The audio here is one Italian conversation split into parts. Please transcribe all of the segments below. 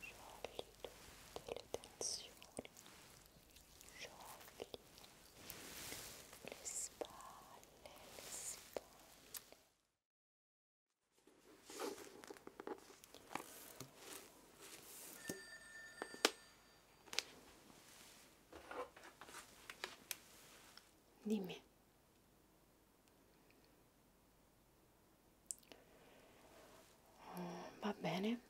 sciogli tutte le tensioni, sciogli le spalle, le spalle. Dimmi Mm, va bene,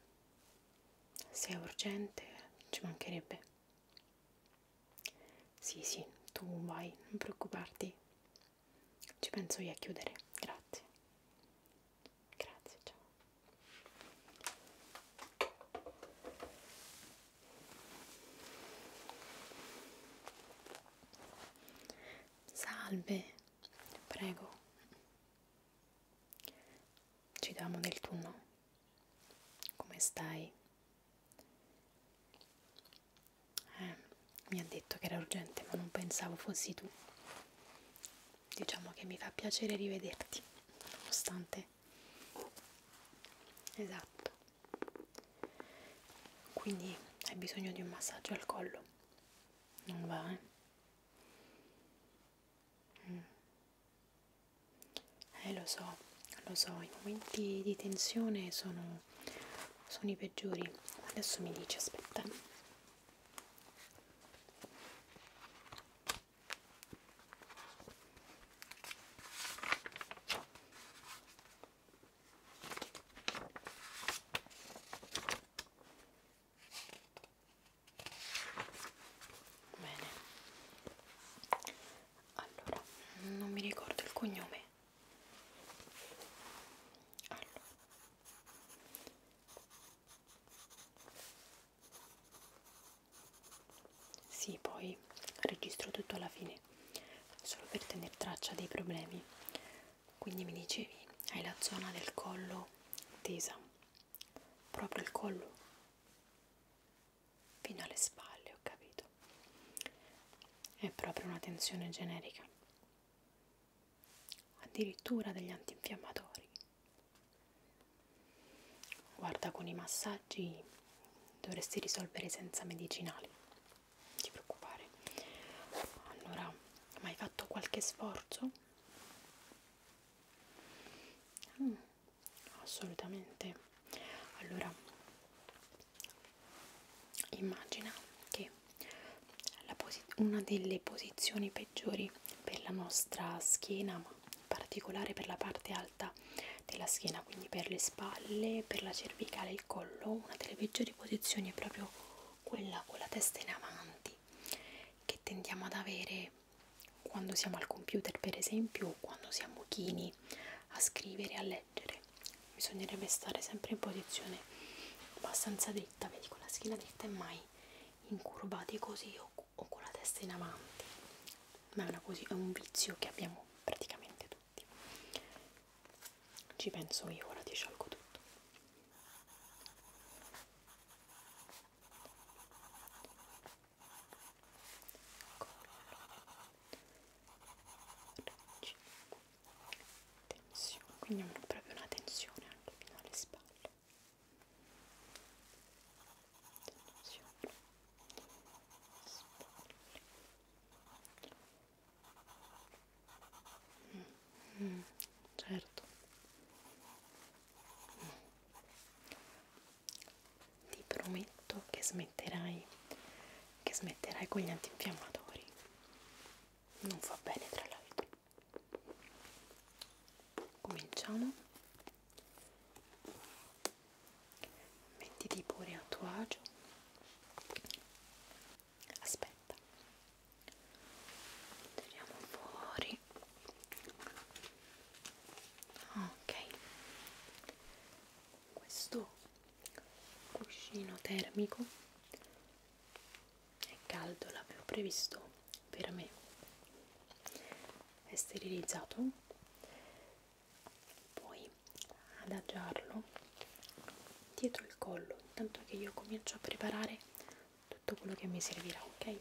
se è urgente ci mancherebbe. Sì, sì, tu vai, non preoccuparti. Ci penso io a chiudere, grazie. Grazie, ciao. Salve, prego. Ci diamo del tuo no. Come stai? Eh, mi ha detto che era urgente, ma non pensavo fossi tu. Diciamo che mi fa piacere rivederti, nonostante. Esatto quindi hai bisogno di un massaggio al collo non va eh mm. eh lo so lo so i momenti di tensione sono sono i peggiori adesso mi dici aspetta Bene. Allora, non mi ricordo il cognome. Allora. Sì, poi registro tutto alla fine ok? Solo per tenere traccia dei problemi. Quindi mi dicevi, hai la zona del collo tesa, proprio il collo, fino alle spalle, ho capito. È proprio una tensione generica. Addirittura degli antinfiammatori. Guarda, con i massaggi dovresti risolvere senza medicinali non ti preoccupare allora hai fatto qualche sforzo mm, assolutamente allora immagina che la una delle posizioni peggiori per la nostra schiena ma in particolare per la parte alta della schiena, quindi per le spalle, per la cervicale, il collo, una delle peggiori posizioni è proprio quella con la testa in avanti che tendiamo ad avere quando siamo al computer per esempio o quando siamo chini a scrivere, a leggere. Bisognerebbe stare sempre in posizione abbastanza dritta, vedi con la schiena dritta e mai incurvati così o, o con la testa in avanti. Ma è, una, è un vizio che abbiamo praticamente tutti tutti ci penso io ora ti sciolgo tutto tensione quindi è proprio una tensione anche fino alle spalle tensione spalle Mm, certo. Mm. Ti prometto che smetterai, che smetterai con gli antinfiammatori. Non fa bene tra l'altro. Cominciamo mettiti pure a tuo agio aspetta tiriamo fuori ok questo cuscino termico è caldo l'avevo previsto per me è sterilizzato poi adagiarlo dietro il collo intanto che io comincio a preparare tutto quello che mi servirà ok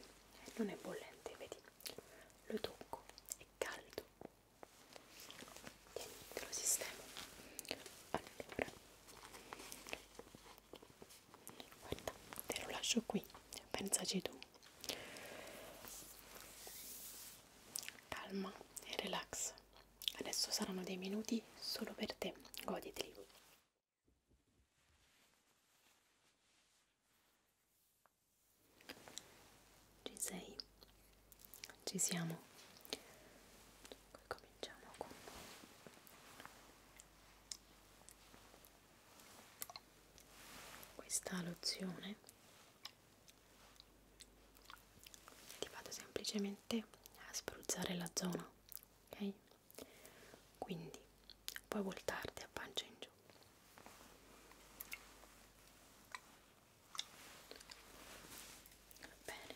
non è bollente vedi lo tocco è caldo tieni te lo sistemo allora guarda te lo lascio qui pensaci tu calma e relax. Adesso saranno dei minuti solo per te, goditeli. Ci sei? Ci siamo. Dunque cominciamo con questa lozione ti vado semplicemente a spruzzare la zona ok quindi puoi voltarti a pancia in giù Va bene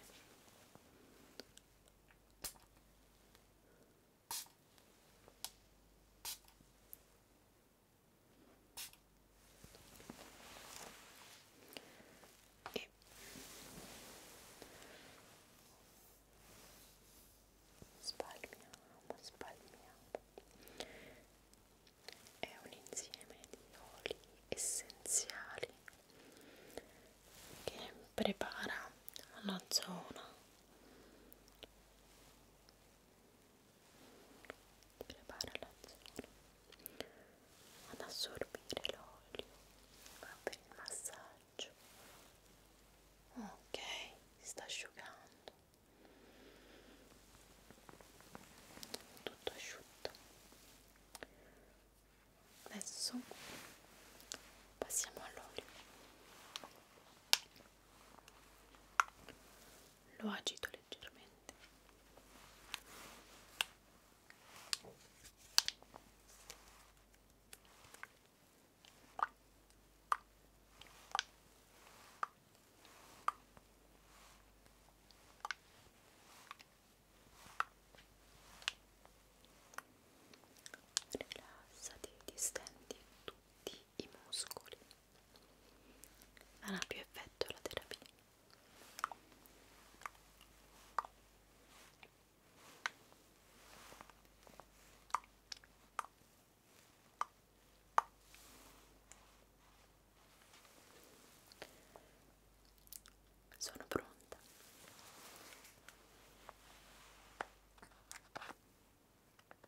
e spalmiamo, spalmiamo è un insieme di oli essenziali che prepara la zona prepara la zona ad assorbire l'olio va per il massaggio ok si sta asciugando tutto asciutto adesso passiamo all'olio lo agito leggermente rilassati distendi tutti i muscoli non ha più effetto la terapia sono pronta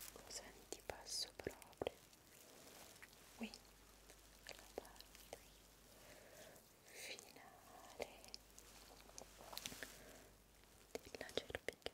Ecco, senti passo proprio qui la parte finale della cervicale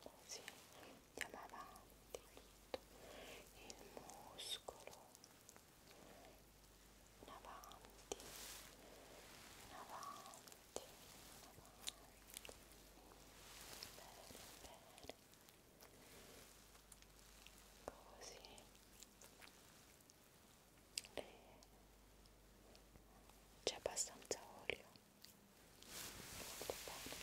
Così andiamo avanti tutto il muscolo in avanti, in avanti, in avanti. Bene, bene. Così c'è abbastanza olio molto bene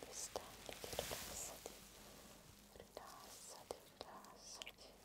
distenditi, rilassati rilassati, rilassati rilassati, distenditi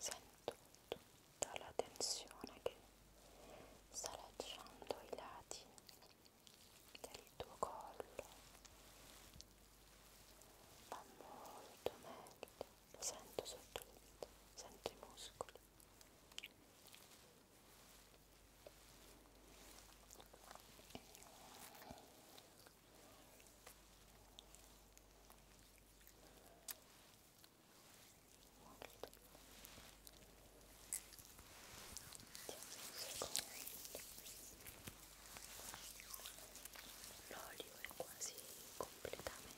Sento tutta la tensione che sta lasciando i lati del tuo collo. Va molto meglio lo sento sotto il dito, sento i muscoli L'olio è quasi completamente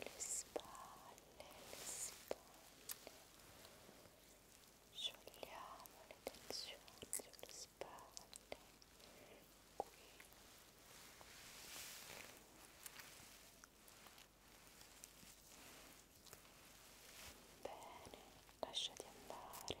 le spalle, le spalle, sciogliamo le tensioni sulle spalle, qui. Bene, lasciati andare. Rilassati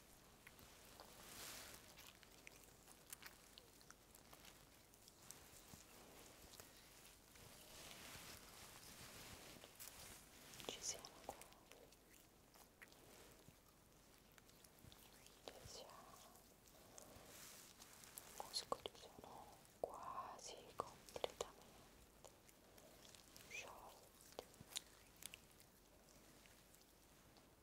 Ci siamo qua. Ci siamo. Scusate, sono quasi completamente sciolti.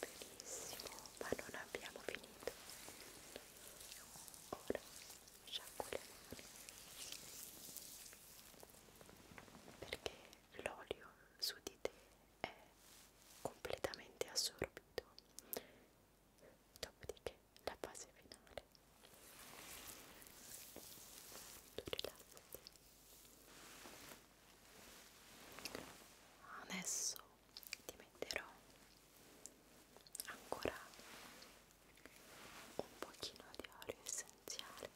benissimo, ma non abbiamo finito ora sciacqua le mani perché l'olio su di te è completamente assorbito dopodiché la fase finale Adesso ti metterò ancora un pochino di olio essenziale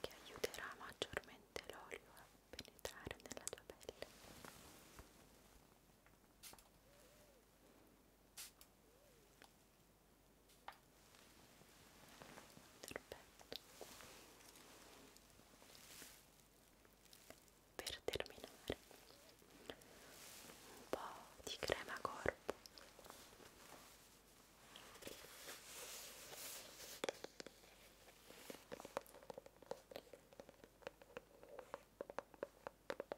che aiuterà maggiormente l'olio a penetrare nella tua pelle perfetto per terminare un po' di crema corpo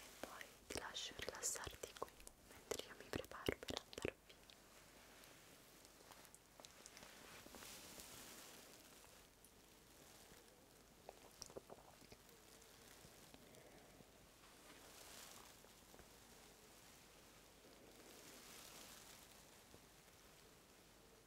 e poi ti lascio rilassarti qui mentre io mi preparo per andare via Ecco